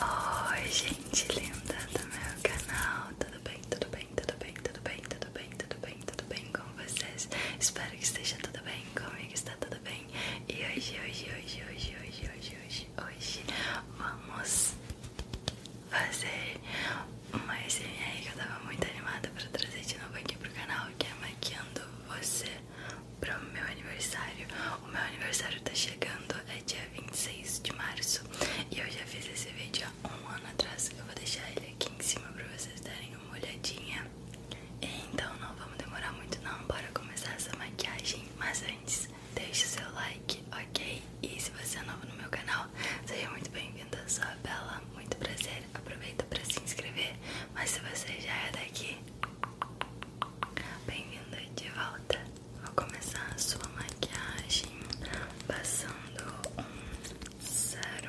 Oi gente linda do meu canal, tudo bem, tudo bem, tudo bem, tudo bem, tudo bem, tudo bem, tudo bem com vocês? Espero que esteja tudo bem, comigo está tudo bem E hoje, hoje, hoje, hoje, hoje, hoje, hoje, hoje vamos fazer uma resenha aí que eu tava muito animada pra trazer de novo aqui pro canal Que é Maquiando Você para o meu aniversário. O meu aniversário tá chegando, é dia 26 de março. E eu já fiz esse vídeo há um ano atrás. Eu vou deixar ele aqui em cima para vocês darem uma olhadinha. Então não vamos demorar muito não, bora começar essa maquiagem. Mas antes, deixe seu like, ok? E se você é novo no meu canal, seja muito bem-vindo. Sou a Bela, muito prazer. Aproveita para se inscrever. Mas se você já é daqui, Bem-vinda de volta. Vou começar a sua maquiagem passando um sérum.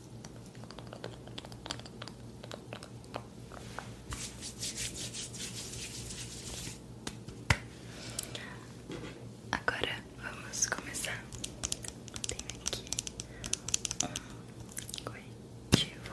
Agora vamos começar. Tem aqui um corretivo.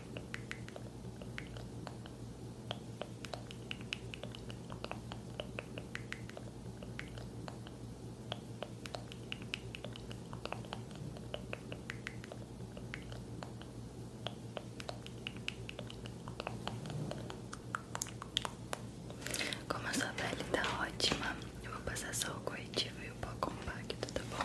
Como a sua pele tá ótima, eu vou passar só o corretivo e o pó compacto, tá bom?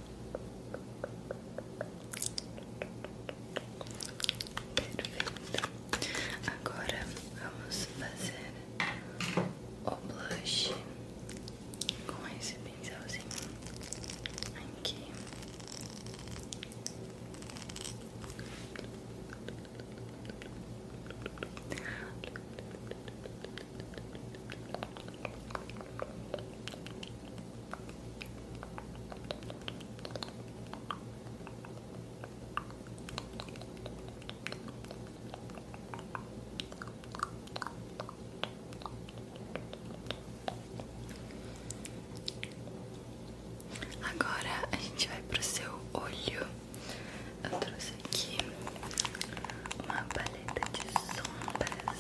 Perfeito. Agora vamos fazer o blush com esse pincelzinho aqui. Agora a gente vai para o seu olho. Eu trouxe aqui uma paleta de sombras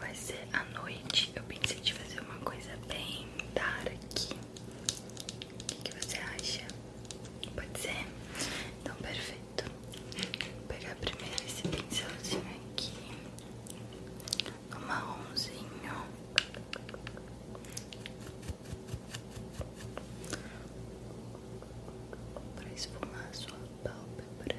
vai ser a noite, eu pensei de fazer uma coisa bem dar aqui. O que, você acha? Pode ser? Então, perfeito. Vou pegar primeiro esse pincelzinho aqui, o marronzinho. Pra esfumar a sua pálpebra.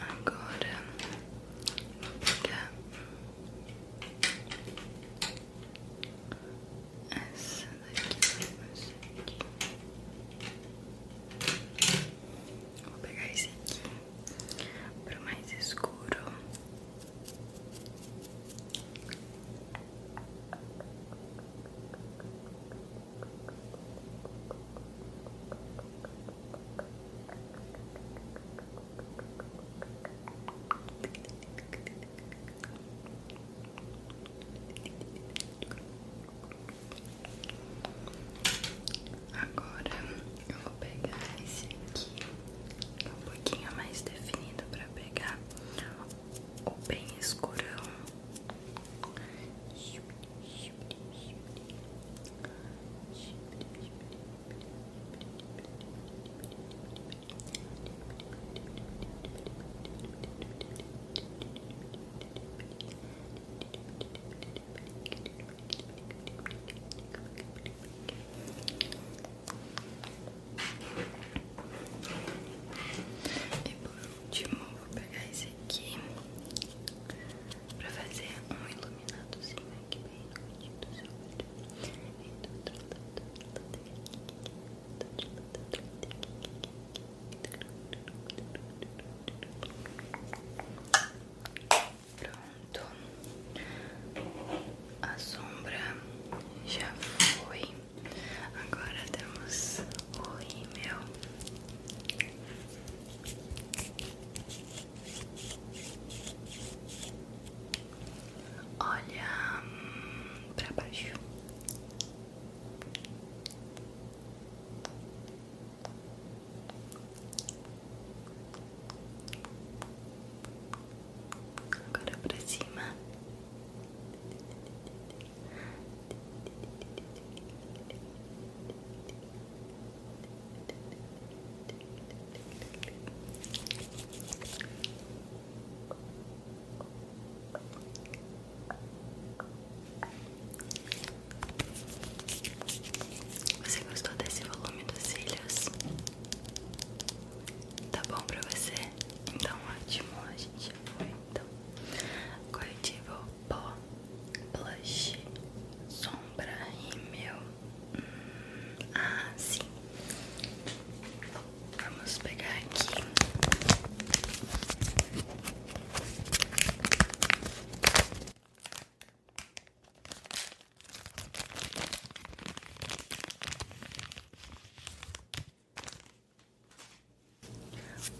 Agora vou pegar essa daqui, essa aqui. Vou pegar esse aqui pro mais escuro. Agora eu vou pegar esse aqui, é um pouquinho mais definido para pegar o bem escurão. E por último, vou pegar esse aqui para fazer um iluminador iluminadozinho aqui bem no seu olho e do outro lado Pronto, a sombra já foi. Agora temos o rímel. Olha hum, para baixo. Agora para cima. Você gostou desse volume dos cílios? Tá bom pra você? Então ótimo, a gente foi então corretivo pó plush sombra, rímel. Hum, ah, sim. Vamos pegar aqui.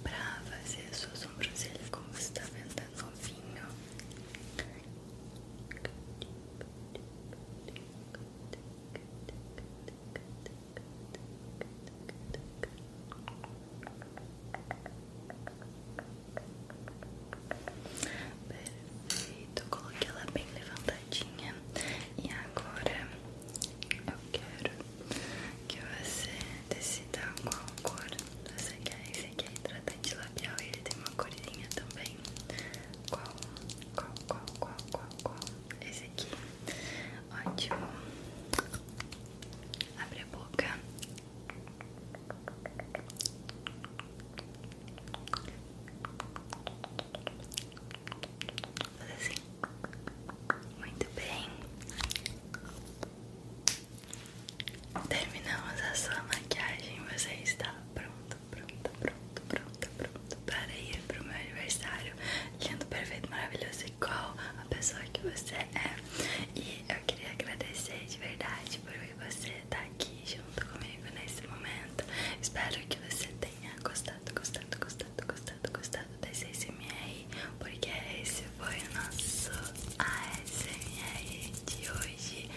Pra fazer a sua sobrancelha, como está tá vendo, tá novinho Perfeito, coloquei ela bem levantadinha e agora eu quero que você decida qual cor você quer. Esse aqui é hidratante labial ele tem uma corzinha também. Qual? Qual? Qual? Qual? Qual? Qual? Esse aqui. Ótimo. Abre a boca. Faz assim. Muito bem. Terminamos a sua maquiagem. Você está pronto, pronto, pronto, pronto, pronto para ir para o meu aniversário. Lindo, perfeito, maravilhoso, igual a pessoa que você é. E eu queria agradecer de verdade por você estar tá aqui junto comigo nesse momento. Espero que você tenha gostado, gostado, gostado, gostado, gostado desse SMR, porque esse foi o nosso. Ah, é a ASMR de hoje.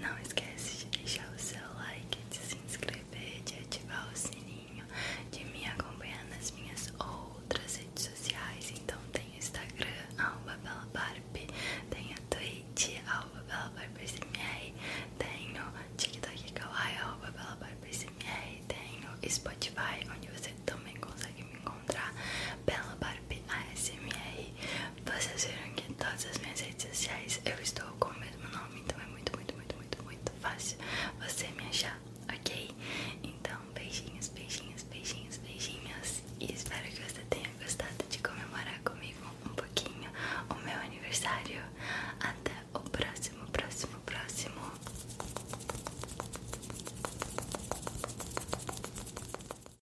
Não esquece de deixar o seu like, de se inscrever, de ativar o sininho, de me acompanhar nas minhas outras redes sociais. Então tem Instagram, arroba tem a Twitch, arroba tem o TikTok kawaii, arroba tem tenho Spotify, onde você também consegue me encontrar, belabarp ASMR. Vocês viram que em todas as minhas redes sociais eu estou com o mesmo nome, então é muito, muito, muito, muito, muito fácil você me achar, ok? Então, beijinhos, beijinhos, beijinhos, beijinhos. E espero que você tenha gostado de comemorar comigo um pouquinho o meu aniversário. Até o próximo, próximo, próximo.